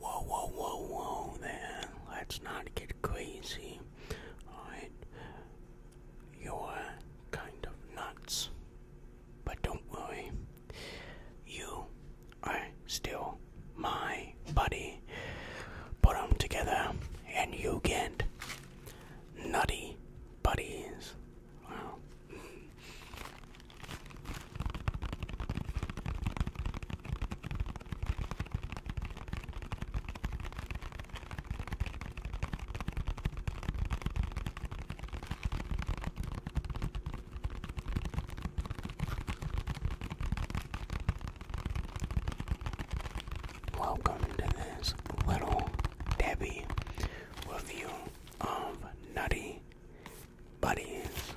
Whoa, whoa, whoa, whoa there. Let's not get crazy. Alright. You're kind of nuts. But don't worry. You are still my buddy. Put them together and you get nutty buddies. Wow. Welcome to this little Debbie review of Nutty buddies.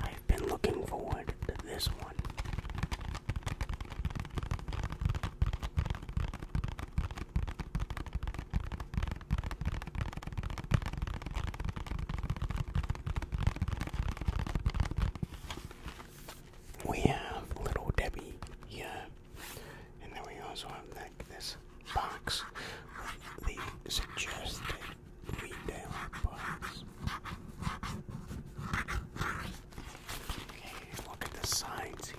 I've been looking forward to this one. We have Little Debbie here, and then we also have like this box with the suggested Okay, look at the signs here.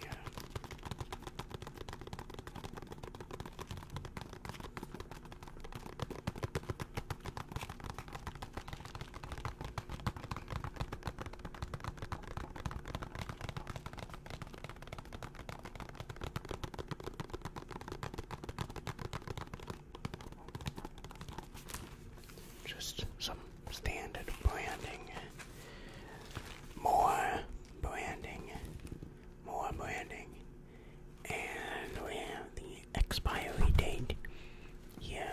Just some standard branding. More branding. More branding. And we have the expiry date here,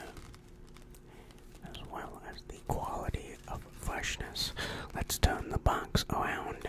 as well as the quality of freshness. Let's turn the box around.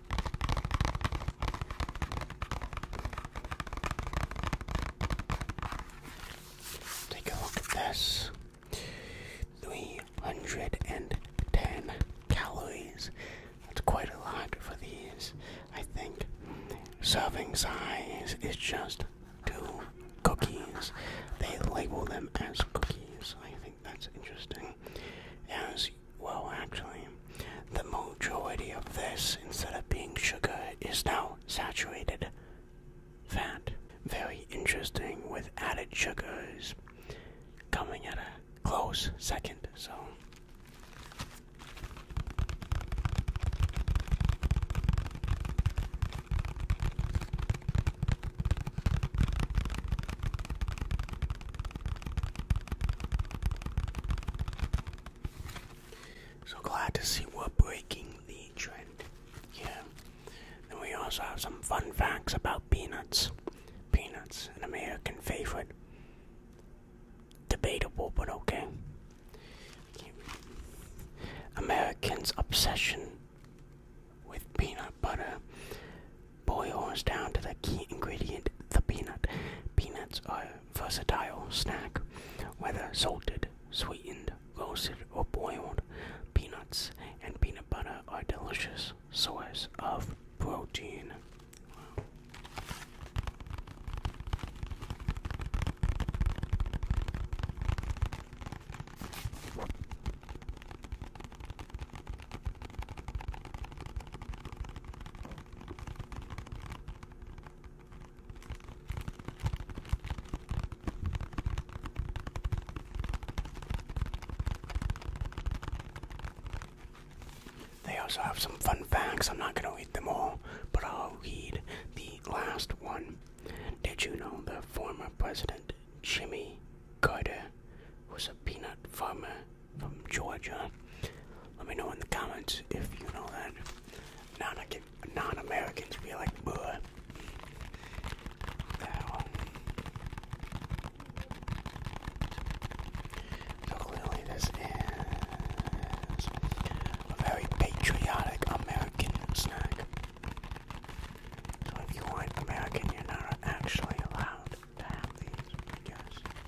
Take a look at this 310 calories. That's quite a lot for these, I think. Serving size is just two cookies. They label them as cookies. I think that's interesting. As well, actually, the majority of this, instead of being sugar, is now saturated fat. Very interesting with added sugars coming at a close second, so. So glad to see we're breaking the trend here. Then we also have some fun facts about peanuts. Peanuts, an American favorite. Debatable, but okay. Americans' obsession with peanut butter boils down to the key ingredient, the peanut. Peanuts are versatile snack, whether salted, sweetened, roasted, or boiled. Peanuts and peanut butter are delicious source of protein. They also have some fun facts. I'm not going to read them all, but I'll read the last one. Did you know the former president, Jimmy Carter, was a peanut farmer from Georgia. Let me know in the comments if you know that non-Americans non feel like, bruh. So clearly this is a very patriotic American snack. So if you aren't American, you're not actually allowed to have these, I guess.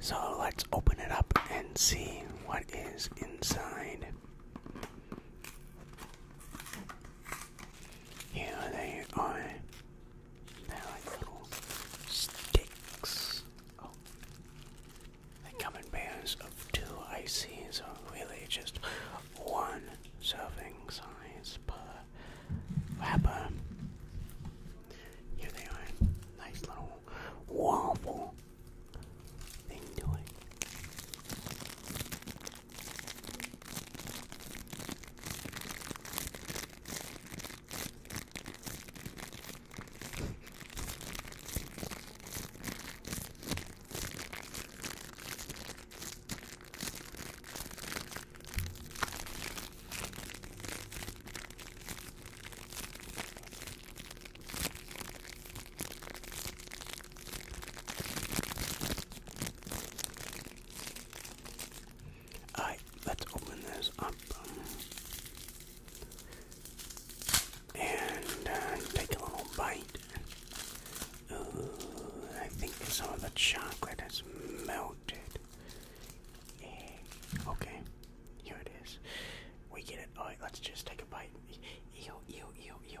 So let's open it up and see what is inside. Here they are. They're like little sticks. Oh. They come in pairs of two, I see, so really just one serving size per wrapper. Here they are. Nice little waffle thing Alright, let's open this up um, and uh, take a little bite. I think some of the chocolate has melted Okay, here it is. We get it. All right, let's just take a bite. Ew, ew, ew, ew.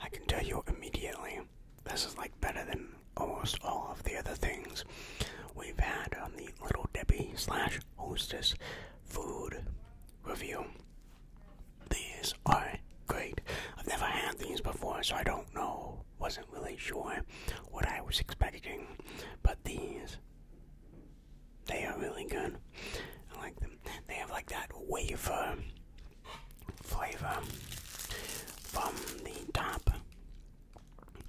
I can tell you immediately, this is like better than almost all of the other things we've had on the Little Debbie slash Hostess food review. These are great. I've never had these before, so I don't know. Wasn't really sure what I was expecting, but these, they are really good. I like them. They have like that wafer flavor from the top.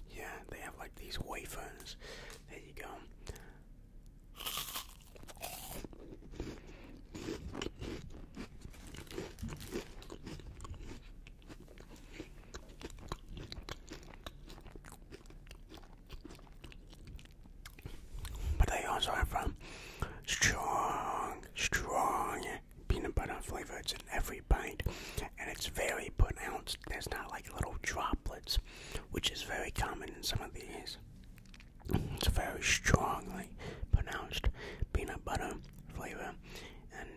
Yeah, they have like these wafers. There you go. But they also have um, strong, strong peanut butter flavors in every bite, and it's very pronounced. There's not like little droplets, which is very common in some of these. It's very strongly pronounced peanut butter flavor, and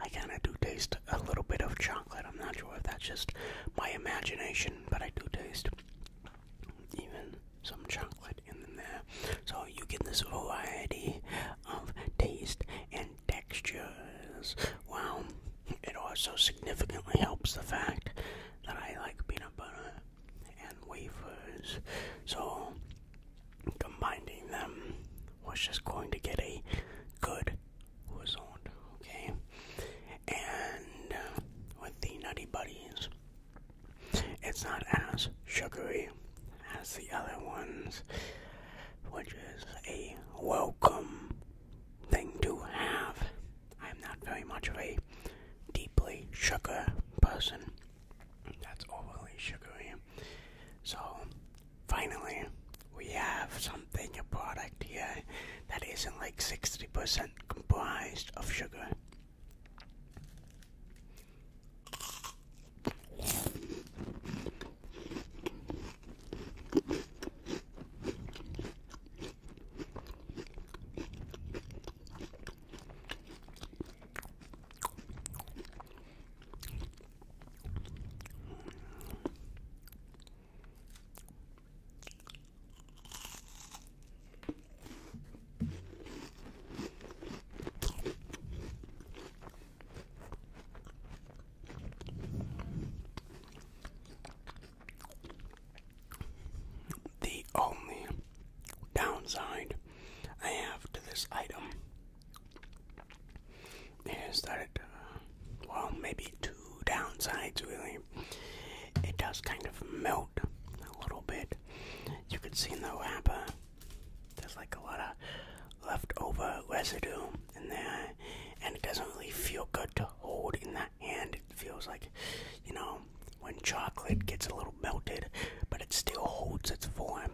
I kind of do taste a little bit of chocolate. I'm not sure if that's just my imagination, but I do taste even some chocolate in there. So you get this variety of taste and textures. Wow. It also significantly helps the fact that I like peanut butter and wafers. So combining them was just going to get a good result, okay? And uh, with the Nutty Buddies, it's not as sugary as the other ones, which is a welcome thing to have. I'm not very much of a deeply sugar person. That's overly sugary. So, finally, we have something, a product here that isn't like 60% comprised of sugar. The only downside I have to this item is that it, uh, well, maybe two downsides really. It does kind of melt a little bit. You can see in the wrapper, there's like a lot of leftover residue in there, and it doesn't really feel good to hold in the hand. It feels like, you know, when chocolate gets a little melted, but it still holds its form.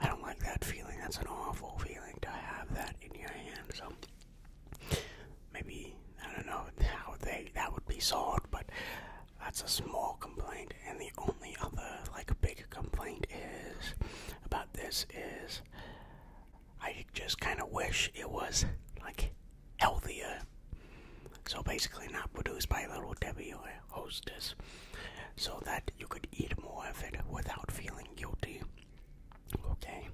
I don't like that feeling. That's an awful feeling to have that in your hand. So maybe I don't know how they that would be solved, but that's a small complaint. And the only other like big complaint is about this is I just kind of wish it was like healthier. So basically, not produced by Little Debbie or Hostess, so that you could eat more of it without feeling guilty. Okay,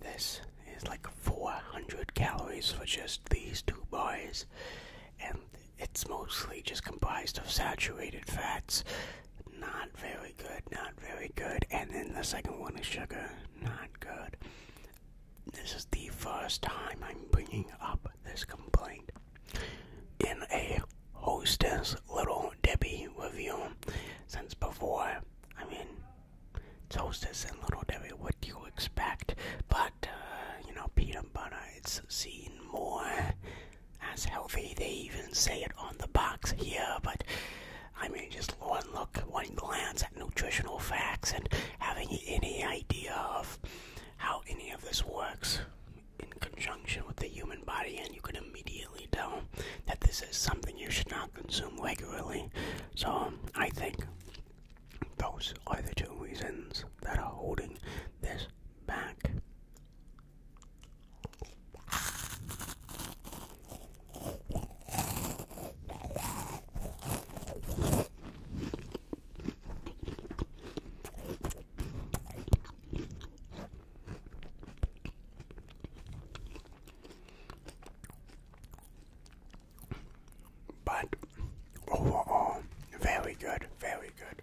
this is like 400 calories for just these two boys, and it's mostly just comprised of saturated fats. Not very good, not very good. And then the second one is sugar, not good. This is the first time I'm bringing up this complaint. In a hostess little Debbie review, since before, I mean, hostess and little Debbie, what do you expect? But, uh, you know, peanut butter, it's seen more as healthy. They even say it on the box here, but I mean, just one look, one glance at nutritional facts and having any idea of how any of this works in conjunction with the human body, and you could immediately tell that this is something you should not consume regularly. So, um, I think those are the two reasons that are holding this back. But overall, very good, very good.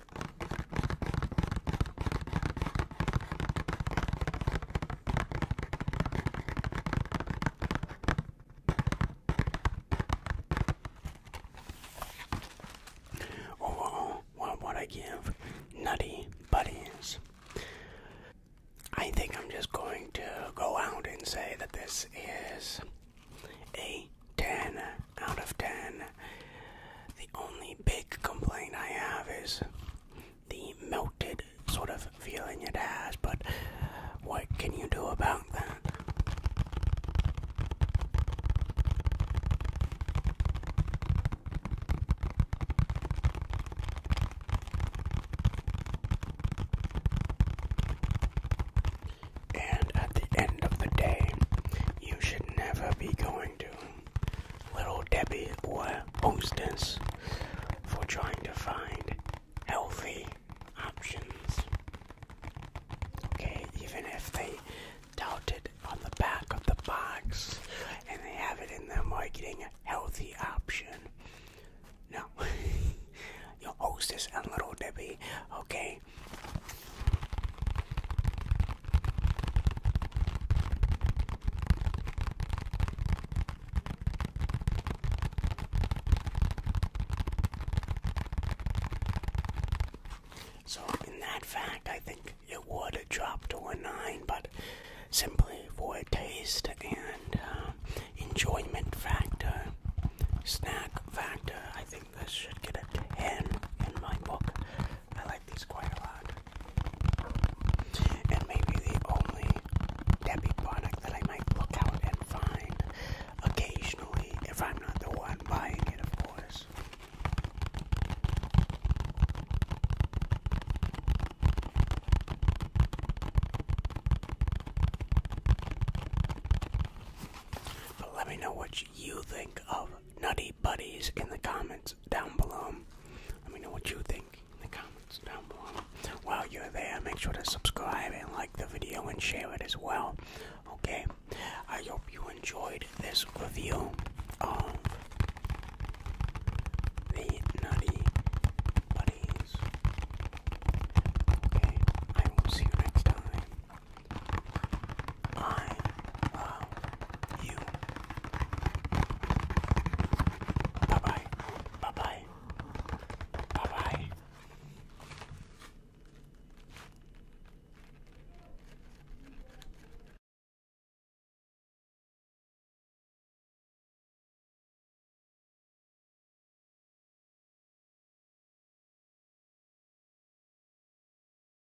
Overall, oh, what would I give Nutty Buddies? I think I'm just going to go out and say that this is a 10 out of 10. The only big complaint I have is the melted sort of feeling it has, but what can you do about that? And at the end of the day, you should never be going Little Debbie or Hostess for trying to find healthy options. Okay, even if they tout it on the back of the box and they have it in their marketing healthy option. No. Your hostess and little Debbie, okay? So, in that fact, I think it would drop to a 9, but simply for taste and uh, enjoyment factor, snack factor, I think this should get a 10 in my book. I like these quite a lot. And maybe the only Debbie product that I might look out and find occasionally, if I'm not the one buying it, of course. But let me know what you think of Nutty buddies in the comments down below. Let me know what you think in the comments down below. While you're there, make sure to subscribe and like the video and share it as well. Okay? I hope you enjoyed this review of the Nutty Buddies. Okay, I will see you next time. I you. Bye bye. Bye bye. Bye bye.